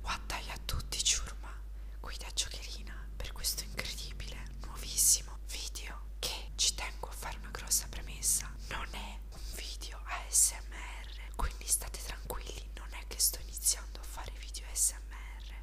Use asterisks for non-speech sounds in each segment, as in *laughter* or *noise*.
Guattaglia a tutti ciurma, guida giocherina per questo incredibile, nuovissimo video che ci tengo a fare una grossa premessa. Non è un video ASMR, quindi state tranquilli, non è che sto iniziando a fare video ASMR.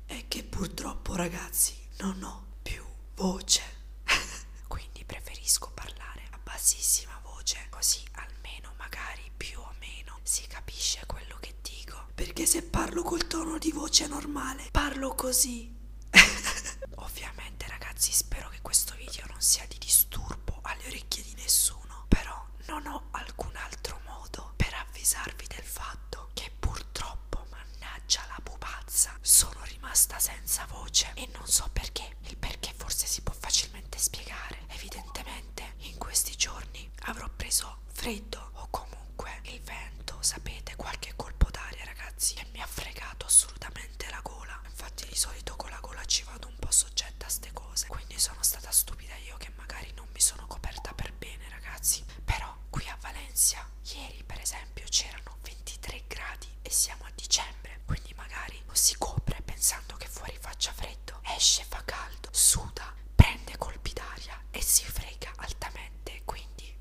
È che purtroppo ragazzi non ho più voce, *laughs* quindi preferisco parlare a bassissima una voce, così almeno magari più o meno si capisce quello che dico. Perché se parlo col tono di voce normale, parlo così. *laughs* Ovviamente ragazzi spero che questo video non sia di disturbo alle orecchie di nessuno, però non ho alcun altro modo per avvisarvi del fatto che purtroppo, mannaggia la pupazza, sono rimasta senza voce e non so perché, il perché forse si può facilmente spiegare. Evidentemente in questi giorni avrò preso freddo o comunque il vento, sapete, qualche colpo d'aria ragazzi e mi ha fregato assolutamente la gola. Infatti di solito con la gola ci vado un po' soggetta a ste cose, quindi sono stata stupida io che magari non mi sono coperta per bene ragazzi. Però qui a Valencia ieri per esempio c'erano 23 gradi e siamo a dicembre dicembre, quindi magari lo si copre pensando che fuori faccia freddo, esce, fa caldo, suda, prende colpi d'aria e si frega altamente, quindi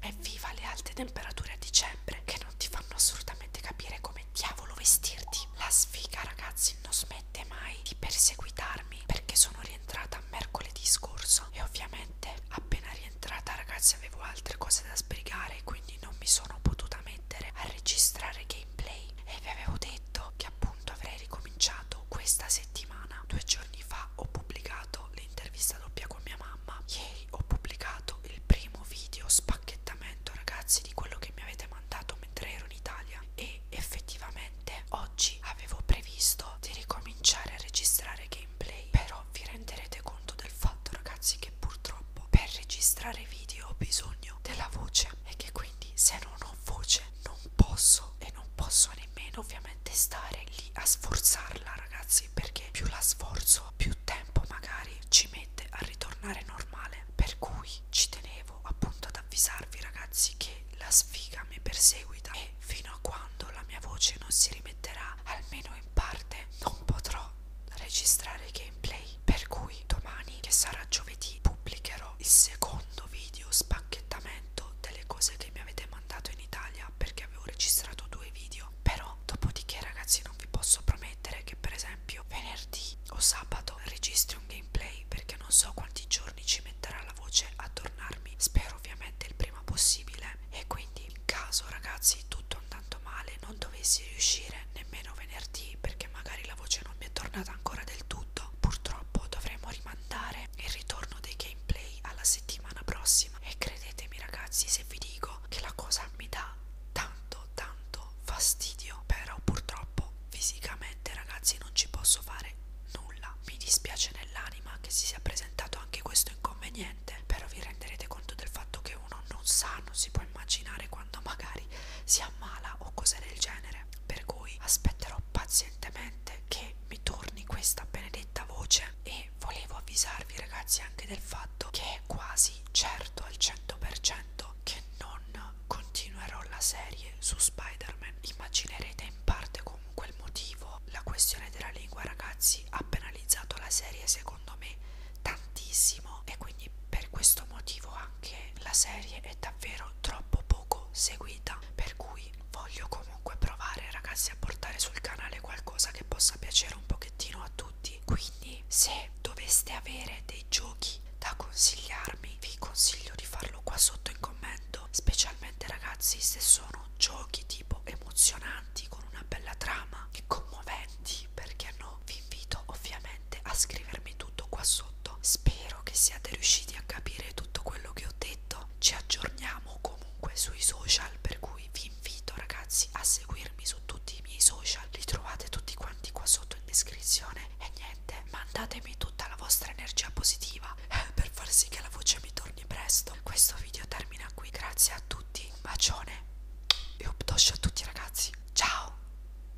evviva le alte temperature a dicembre che non ti fanno assolutamente capire come diavolo vestirti. La sfiga ragazzi non smette mai di perseguitarmi perché sono rientrata mercoledì scorso e ovviamente appena rientrata ragazzi avevo altre cose da sbrigare quindi non mi sono potuta mettere a registrare gameplay e vi avevo detto fumetto che appunto avrei ricominciato questa settimana. Due giorni fa ho pubblicato l'intervista doppia con mia mamma. Ieri ho pubblicato il primo video spacchettamento, ragazzi, di quello che mi avete mandato mentre ero in Italia. E effettivamente oggi avevo previsto di ricominciare a registrare gameplay. Però vi renderete conto del fatto, ragazzi, che purtroppo per registrare video ho bisogno della voce e che quindi se non ho voce non posso e non posso nemmeno ovviamente stare lì a sforzarla ragazzi perché più la sforzo più tempo magari ci mette a ritornare normale per cui ci tenevo appunto ad avvisarvi ragazzi che la sfiga mi perseguita e fino a quando la mia voce non si rimetterà almeno in parte non potrò registrare gameplay per cui domani che sarà giovedì pubblicherò il secondo video spacchettamento delle cose che mi avete mandato in Italia perché avevo registrato due video però dopodiché ragazzi non vi posso promettere che per esempio venerdì o sabato registri un gameplay perché non so quanti giorni ci metterà la voce a tornarmi spero ovviamente il prima possibile e quindi in caso ragazzi tutto andando male non dovessi riuscire dire nemmeno venerdì perché magari la voce non mi è tornata ancora del tutto. Purtroppo dovremo rimandare il ritorno dei gameplay alla settimana prossima e credetemi ragazzi se vi dico che la cosa mi dà tanto tanto fastidio, però purtroppo fisicamente ragazzi non ci posso fare nulla. Mi dispiace nell'anima che si sia presentato anche questo inconveniente, però vi renderete conto del fatto che uno non sa, non si può immaginare quando magari si ammala o cose del genere genere. Per cui aspetterò pazientemente che mi torni questa benedetta voce e volevo avvisarvi ragazzi anche del fatto che è quasi certo al 100% che non continuerò la serie su Spider-Man. Immaginerete in parte comunque il motivo. La questione della lingua ragazzi ha penalizzato la serie secondo me tantissimo e quindi per questo motivo qua che la serie è davvero troppo poco seguita per cui voglio comunque provare ragazzi a portare sul canale qualcosa che possa piacere un pochettino a tutti quindi se doveste avere dei giochi da consigliarmi vi consiglio di farlo qua sotto in commento specialmente ragazzi se sono giochi tipo emozionanti con una bella trama e commoventi perché no vi invito ovviamente gentilmente a scrivermi tutto qua sotto. Spero che siate riusciti a capire tutto quello che ho detto. Ci aggiorniamo comunque sui social, per cui vi invito ragazzi a seguirmi su tutti i miei social. Li trovate tutti quanti qua sotto in descrizione. E niente, mandatemi tutta la vostra energia positiva eh, per far sì che la voce mi torni presto. Questo video termina qui. Grazie a tutti, un bacione e un a tutti ragazzi. Ciao!